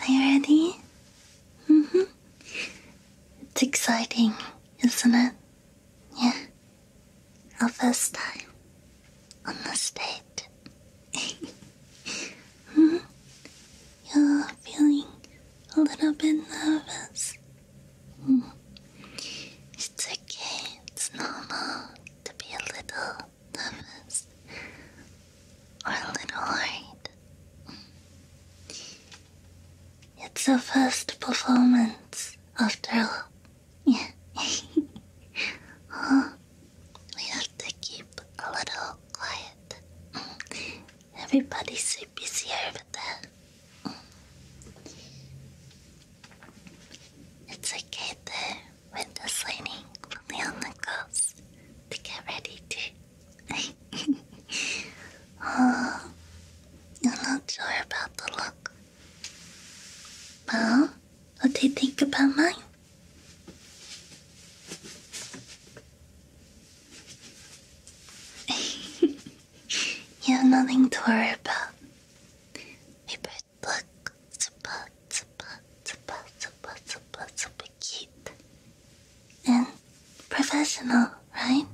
Are you ready? Mm-hmm. It's exciting, isn't it? Yeah. Our first time on the stage. mm -hmm. You're feeling a little bit nervous. Mm. It's okay, it's normal to be a little nervous or a little worried. It's our first performance, after all. We have to keep a little quiet. Everybody's so busy over there. It's okay though window sliding fully on the coast to get ready to. oh, I'm not sure about the look. Well, what do you think about mine? you have nothing to worry about. We both look super super, super, super, super, super cute and professional, right?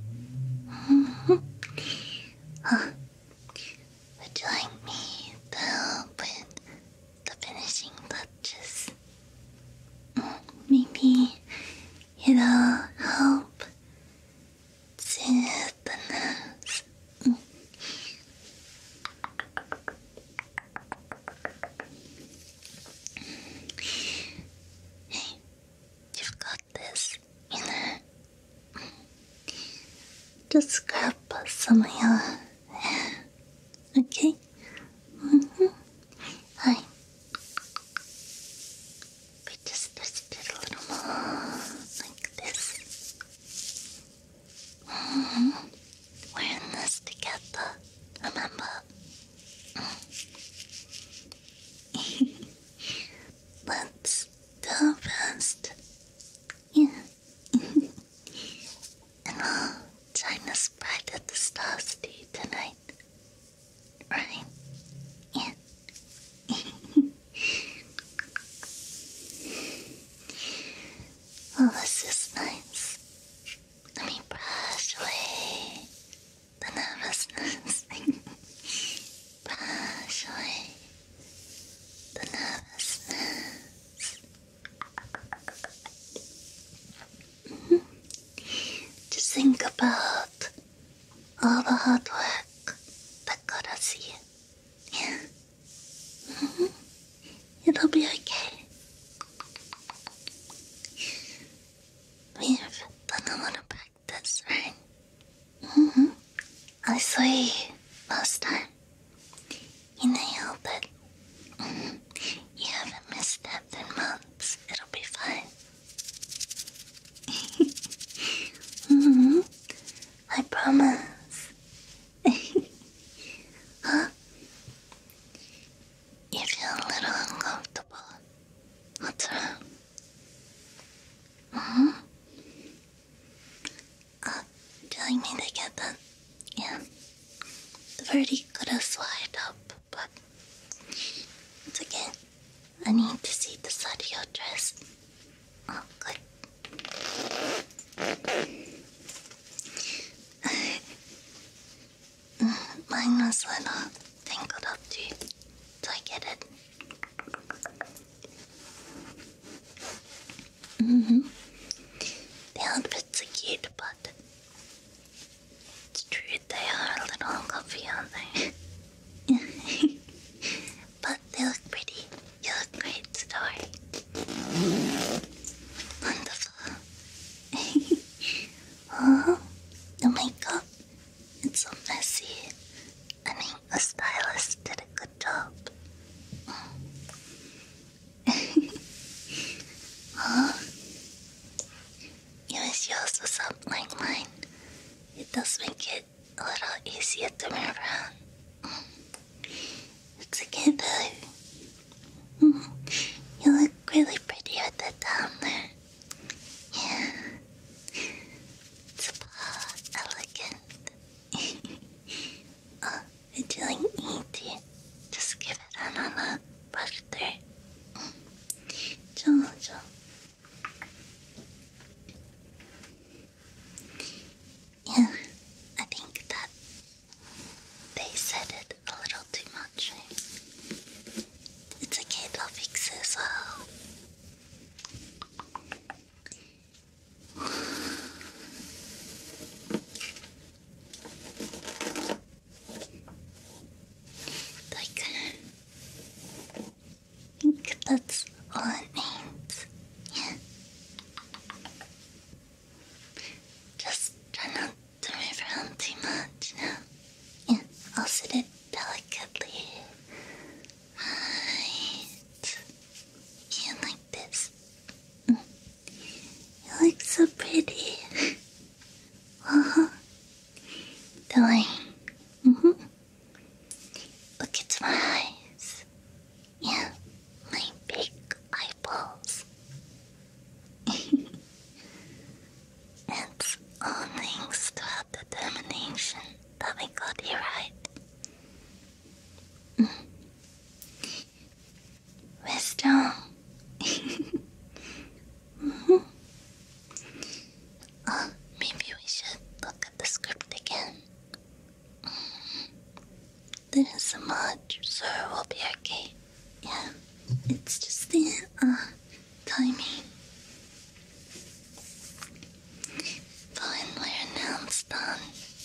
Mm-hmm. Uh, would you like me to put the finishing touches? Mm, maybe it'll help soothe the nose. Mm. Hey, you've got this, you Just scrap some of your okay? -hmm. Hi. We just twist it a little more like this. We're mm-hmm. in this together, remember? Mm. Let's go first. Yeah. and I'll join us bright the stars to you tonight. Right? Yeah. Well, this is nice. Let me brush away the nervousness. brush away the nervousness. Just think about all the hard work that got us here. It'll be okay. We've done a lot of practice, right? Mm hmm I saw you last time. You nailed it. Mm-hmm, you haven't missed that in months. It'll be fine. -hmm. I promise. you feel a little uncomfortable. What's wrong? hmm? Uh, telling me to get the, yeah, the verdict could have slide up, but once again, I need to see the side of your dress. Oh, good. Mine was a little tangled up too, so I get it. hmm. The outfits are cute, but it's true they are a little uncomfy, aren't but they look pretty. You look great, story. Wonderful. oh, the makeup. It's so messy. I mean, the stylist did a good job. oh, you wish yours was up like mine. It does make it a little easier to move around. It's a good though. Mm. Mm-hmm. You look really pretty with the there. Yeah. It's a all elegant. oh, would you like me to just give it another brush through? Jojo. Yeah, I think that they said it a little too much. It's okay, they'll fix it as Like, I think that's all it means. Yeah. Just try not to move around too much now. Yeah, I'll sit it delicately. Right. Yeah, like this. Mm. You look so pretty. uh-huh. hmm Look into my eyes and my big eyeballs. it's all thanks to determination that we got you right. Mm. we oh, maybe we should look at the script again. There is so much, so it will be okay. Yeah, it's just the uh, timing. But it's done,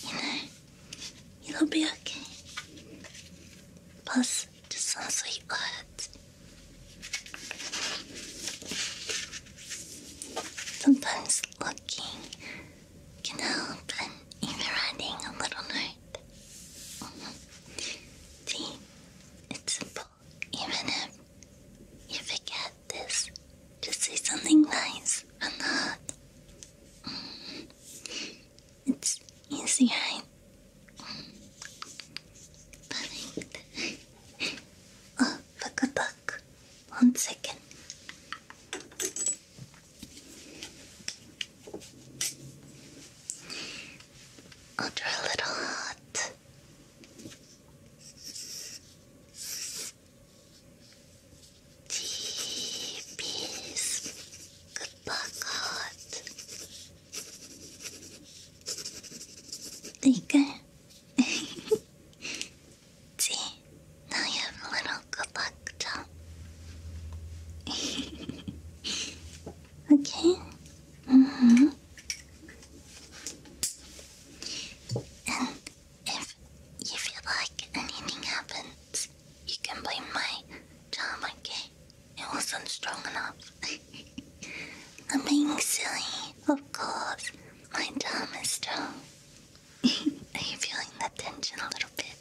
you know, it'll be okay. Plus, just some sweet words. Sometimes lucky can help even writing a little note. Mm-hmm. See, it's simple. Even if you forget this, just say something nice or not. Mm -hmm. It's easy, right? Mm-hmm. Perfect. Oh, look a book. One second. I'll try a little hot. Jeebies. Good luck, hot. There you now you have a little good luck charm. okay. Mm And if you feel like anything happens, you can blame my charm, okay? It wasn't strong enough. I'm being silly, of course. My charm is strong. Are you feeling the tension a little bit?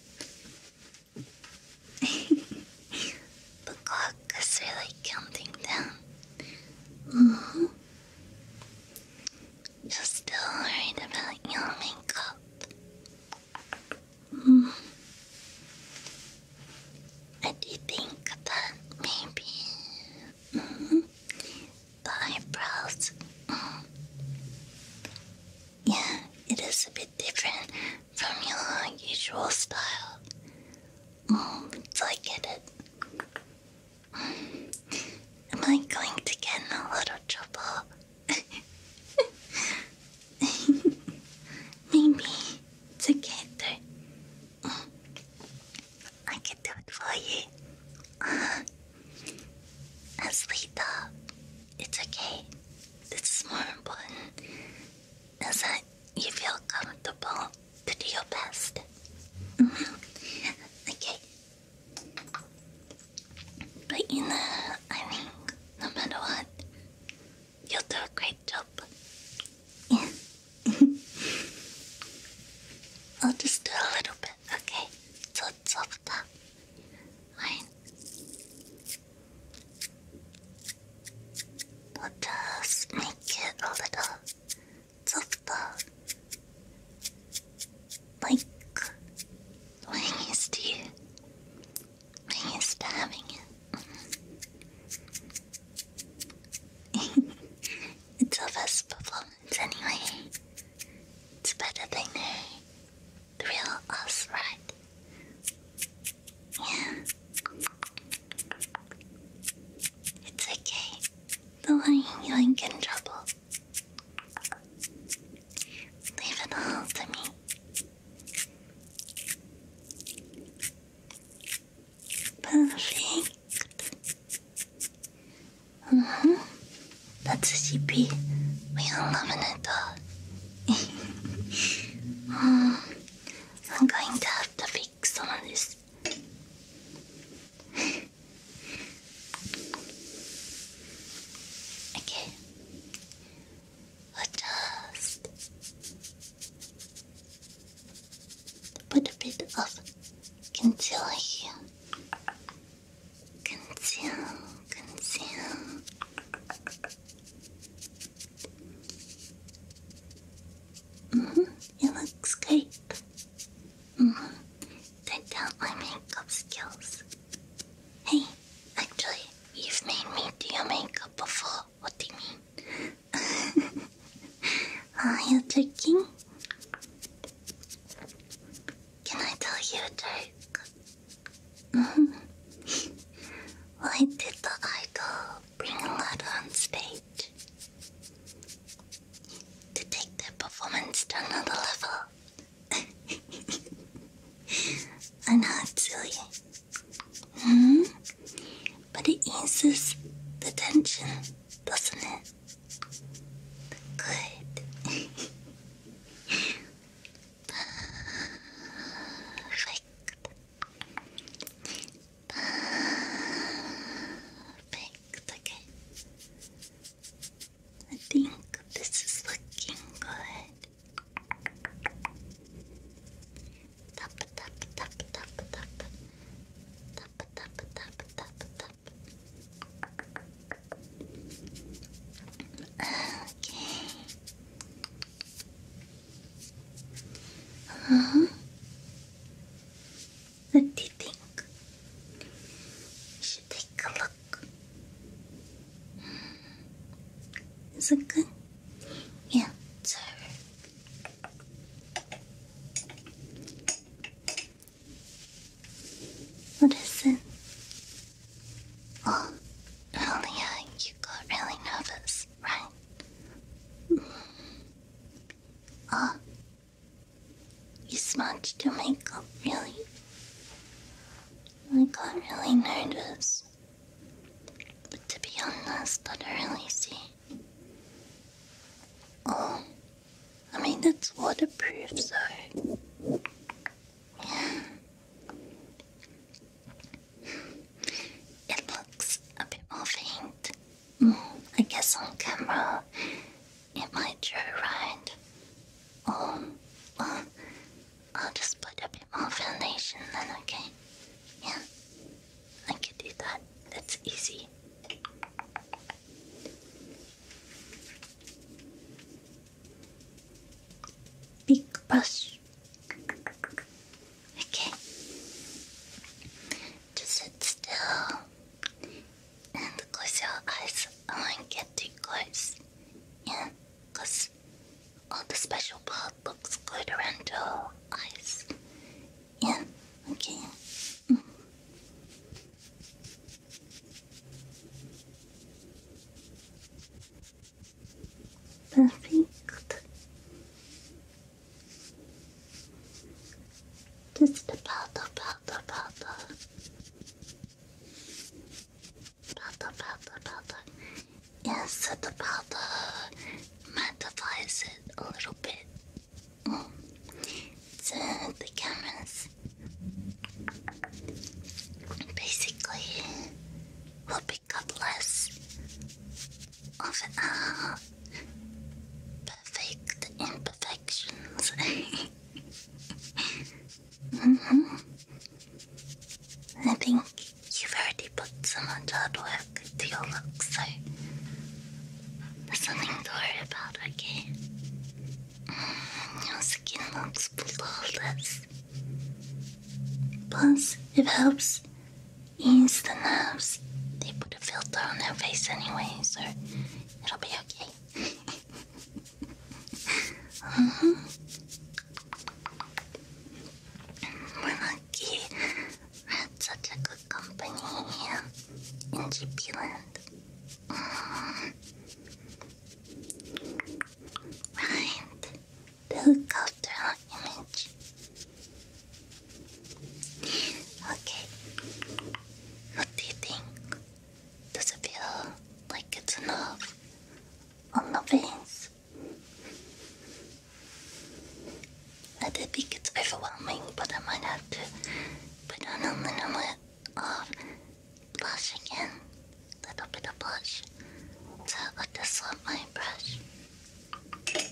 the clock is really counting down. You're still worried about your makeup. Mm. I do think that maybe mm-hmm, the eyebrows. Mm-hmm, yeah, it is a bit different from your usual style. Mm, so I get it. Mm, am I going to get in a lot of trouble? Maybe it's mm, I can do it for you. Asleep up. Uh, it's okay. This is more important is that you feel comfortable to do your best. Mm-hmm. Okay. But you know, I think no matter what, you'll do a great job. Yeah. I'll just do a little bit, okay? So it's softer. はい What does make it a little softer? Like when used to you when used to having it It's our best performance anyway. It's better than thrill us, right? Yeah. It's okay. Don't worry, you ain't getting trouble. Leave it all to me. Perfect. Mm -hmm. That's a CP, we unlimited um, I'm going to have to fix on this. okay. I'll just put a bit of concealer here. Conceal, conceal. Mm -hmm. It looks great. Mm -hmm. Check out my makeup skills. Hey, actually, you've made me do your makeup before. What do you mean? Are you joking? Can I tell you a joke? Why did the idol bring a Lud on stage? To take their performance to another level. I know it's silly. Hmm? But it eases the tension, doesn't it? Good. Perfect. Perfect. Okay. I think this is looking good. Tap tap tap tap tap. Tap tap tap tap tap. Tap Okay. Huh? What do you think? should take a look. Hmm. Is it good? Yeah, sir. Listen. Well, earlier uh, you got really nervous, right? Oh, you smudged your makeup, really? I got really nervous. But to be honest, I don't really see. Oh, I mean, it's waterproof, so it looks a bit more faint. Mm, I guess on camera it might show right. Um, I'll just put a bit more foundation then, okay? Yeah, I can do that. That's easy. Big brush. Okay. Just sit still and close your eyes. I won't close. Yeah, all the special part looks good around your eyes. Yeah, okay. Mm. Perfect. Just about, about, about, about, about, about. Yes, about uh, magnifies it a little bit. Mm. So the cameras Basically, we'll pick up less of our uh, perfect imperfections. -hmm. I think you've already put so much hard work into your look, so there's nothing to worry about, okay? Your skin looks flawless. Plus, it helps ease the nerves. They put a filter on their face anyway, so it'll be okay. uh -huh. Mm-hmm. We're lucky we had such company in GP Right. The helicopter image. Okay. What do you think? Does it feel like it's enough on the face? I think it's overwhelming, but I might have to put on a little bit of Brush again. Little bit of brush. So I just love my brush. Okay.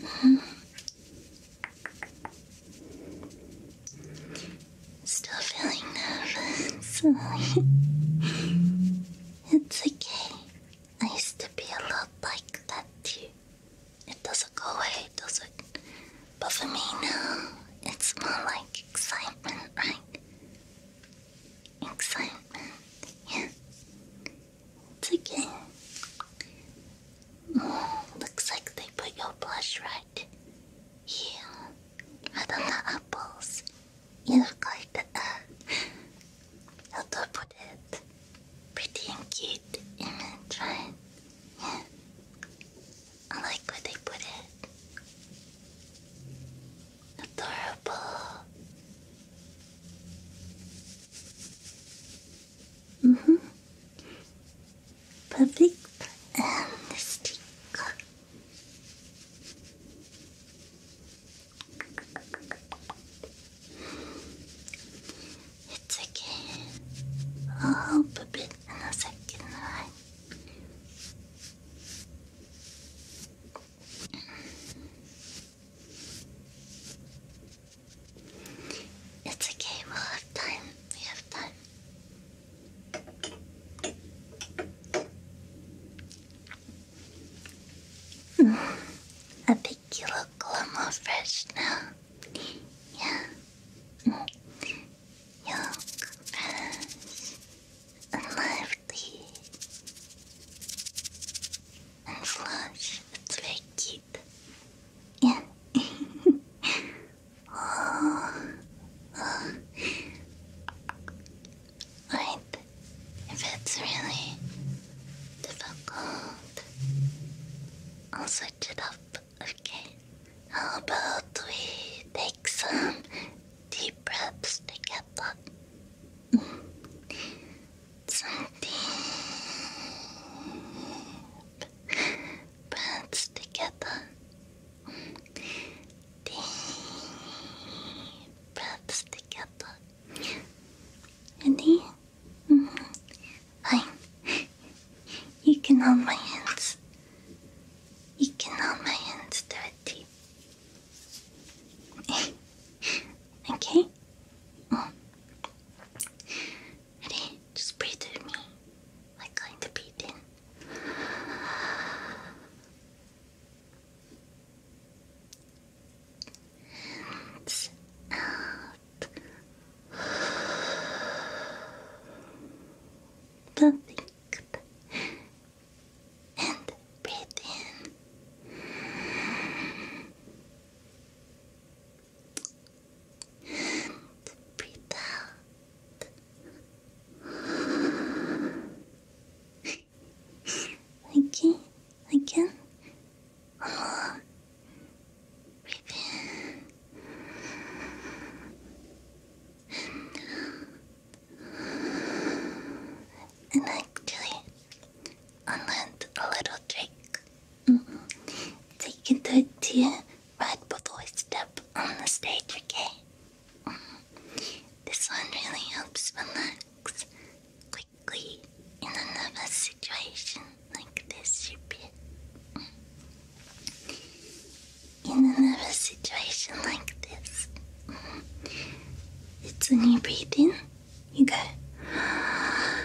Mm-hmm. Still feeling nervous. It's okay. I used to be a lot like that too. It doesn't go away, does it? But for me now, it's more like excitement, right? Excitement, yeah. It's okay. Mm, looks like they put your blush right here. Right on the apples. You look like a, how pretty and cute image, right? Yeah. I like what they put it. Adorable. hmm. Perfect. And sticker. It's okay. I'll help a bit second, It's okay, we have time. We have time. I think you look a lot more fresh now. Yeah. You look fresh and lively and flush. It's very Yeah. Oh. Like, if it's really difficult, I'll switch it up, okay? How about we take some deep breaths together? some deep breaths together. Perhaps together. Ready? -hmm. Fine. You can hold my hands. You can hold my hands dirty. okay? Mm. Ready? Just breathe with me. Like going to breathe in and out. Perfect. And breathe in. And breathe out again, again. Oh, prepare. And actually, I learned a little trick. Mm -hmm. So can do it to right before we step on the stage, okay? This one really helps relax quickly in another situation like this, you In a situation like this, mm-hmm, it's when you breathe in, you go.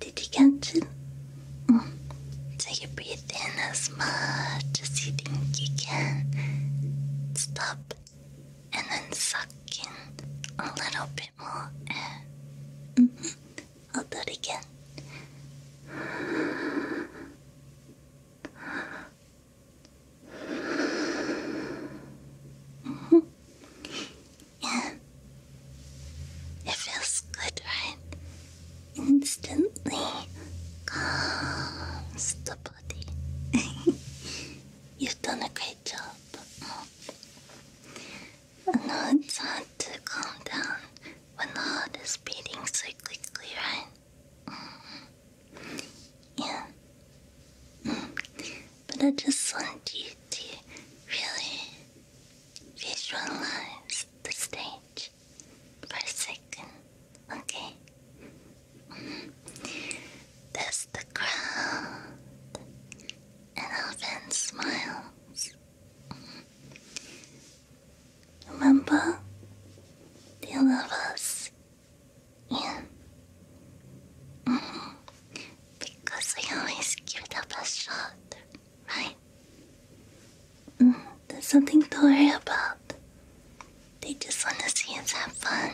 Did you catch it? Take a breath in as much as you think you can. Stop and then suck in a little bit more air. Mm I'll do it again. Mm-hmm. Yeah. It feels good, right? instantly calms the body. You've done a great job. I know it's hard to calm down when the heart is beating so quickly, right? Mm. Yeah. Mm. But I just want you to really visualize the stage for a second. Okay. Mm-hmm. That's the crowd. And often smiles. Mm-hmm. Remember? Do you love us? Yeah. Mm-hmm. Because we always give it up a shot. Right. there's something to worry about. They just want to see us have fun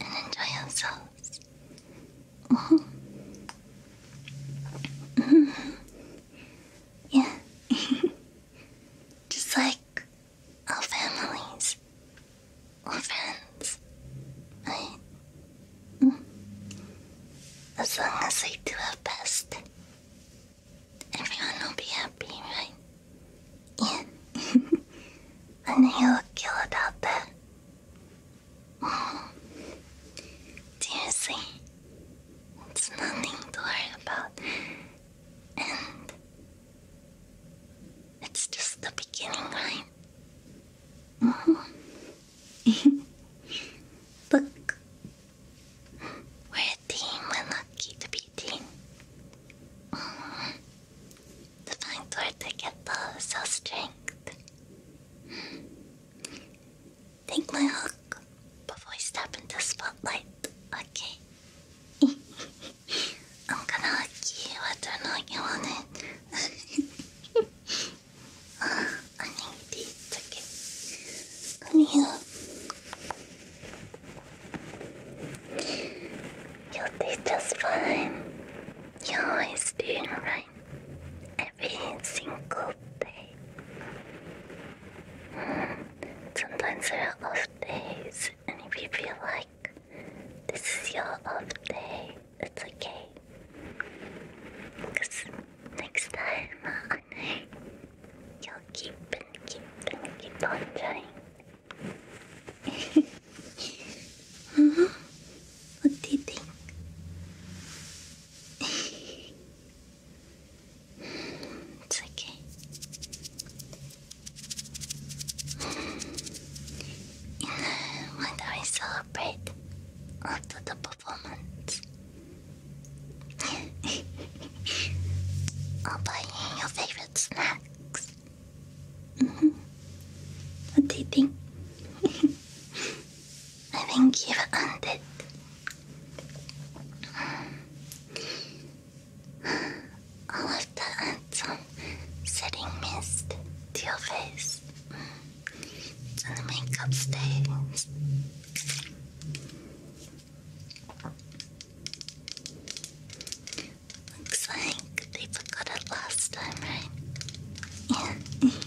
and enjoy ourselves. Mm Yeah. just like our families or friends, right? Mm. As long as we do our best everyone will be happy, right? Yeah. I know you'll kill about that. Oh. Seriously, it's nothing to worry about. And it's just the beginning, right? Mm-hmm. Look, we're a team. We're lucky to be a team. The fine to get the cell strength. Take my hook before I step into spotlight. Okay. I'm gonna hug you whether or not empty. It's okay. Come here. you are do just fine. You're always doing right. Every single day. Mm. Sometimes there are off days, and if you feel like this is your off day, it's okay. Because next time uh, you keep and keep and keep on trying. -hmm. What do you think? it's okay. And uh, when I celebrate after the performance, I'll buy you your favorite snacks. Mm-hmm. What do you think? I think you've earned it. All of the handsome setting mist to your face and the makeup stays. Looks like they forgot it last time, right?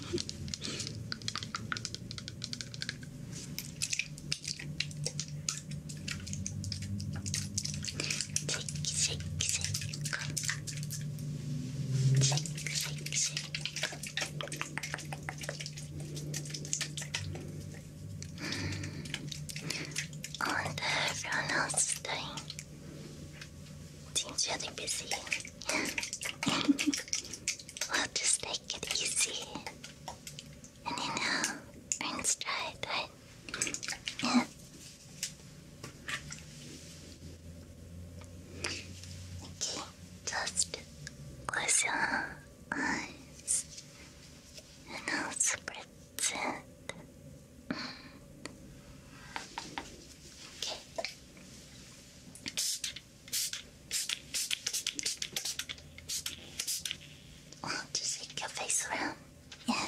Yeah. shake, shake, shake. Shake, shake, shake. On the Ronald's thing. really busy. we just take it easy. And you know, earn stride, right? Okay, just close eyes and I'll spritz it. okay. just take your face around. Yeah.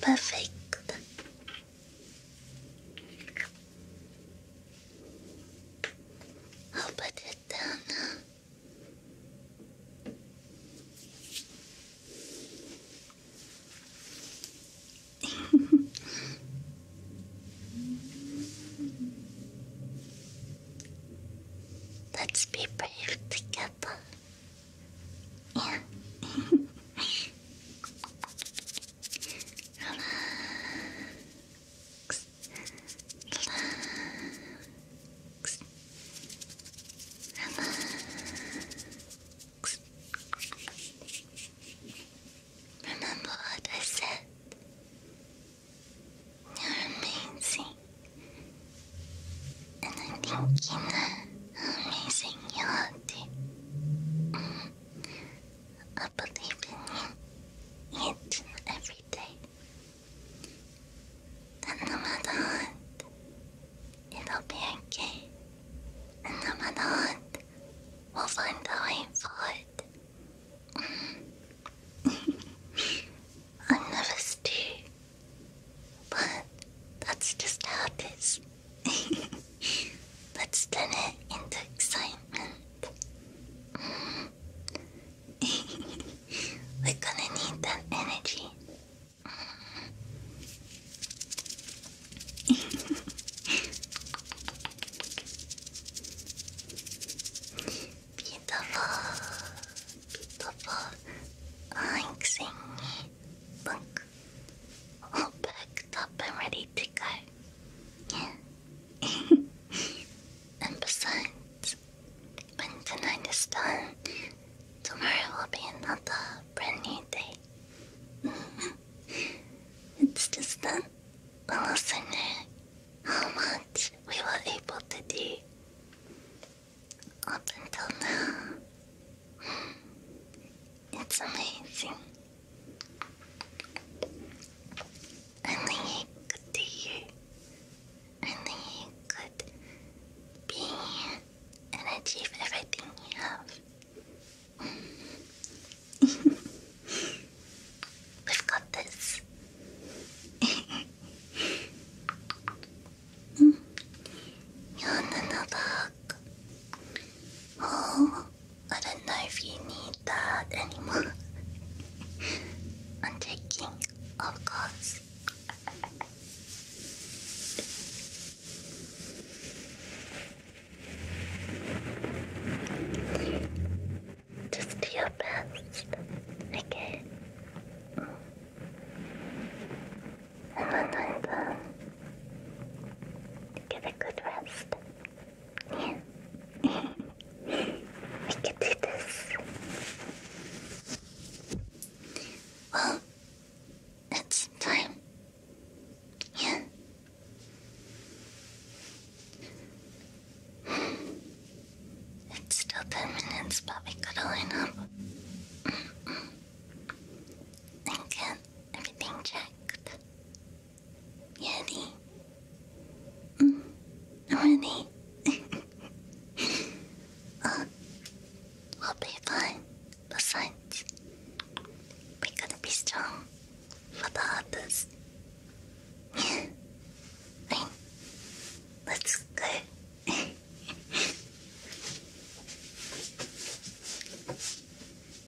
Perfect. I'll put it down Let's be brave together. Yeah. Remember what I said. You're amazing. And I am you know how amazing you are too. I believe in you and every day. And no matter what, it'll be okay. And no matter what, we'll find a way it. I'm nervous too. But that's just how it is. Let's turn it into excitement. We're gonna need that energy. beautiful, beautiful. I'm singing. Look, all picked up ready to go. and besides, when tonight is done, tomorrow will be another brand new day. It's just that we'll also know how much we were able to do up until now. It's amazing. I think it you. I think it be here and achieve everything you have. We've got this. You're on another Oh, I don't know if you need that anymore. I'm taking, of course. Just do your best, okay? And when I'm done, get a good rest we can do this. Well, it's time. Yeah. It's still ten minutes, but we gotta line up. Mm-hmm. and get everything checked ready? Mm, I'm ready. will be fine. Besides, we gotta be strong for the others. Yeah. Let's go.